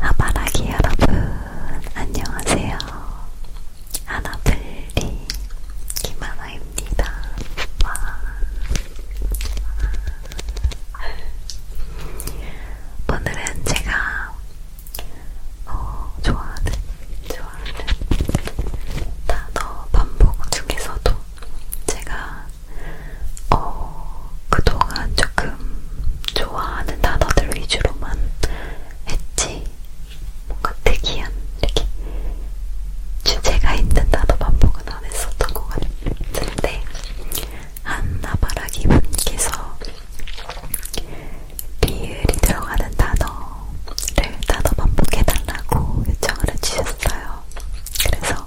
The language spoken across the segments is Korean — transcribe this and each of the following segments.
하바라기 여러분 안녕하세요. 아나블리 김하나입니다. 와. 와. 오늘은 제가 어, 좋아하는 좋아하는 단어 반복 중에서도 제가 어, 그동안 조금 좋아하는 단어들 위주로만 했지, 뭔가 특이한, 이렇게 주제가 있는 단어 반복은 안 했었던 것 같은데, 한나바라기 분께서 리을이 들어가는 단어를 단어 반복해달라고 요청을 해주셨어요. 그래서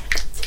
간질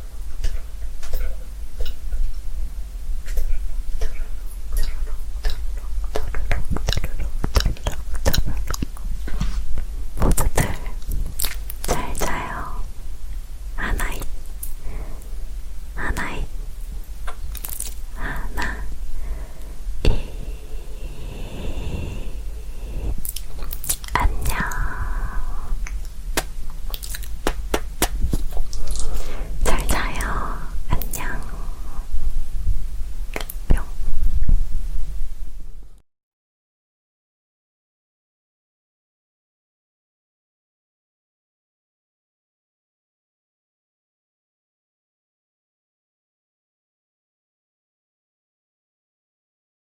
모두들 잘 자요. 하나이, 하나이, 하나, 이, 안녕. 잘 자요. 안녕. 뿅.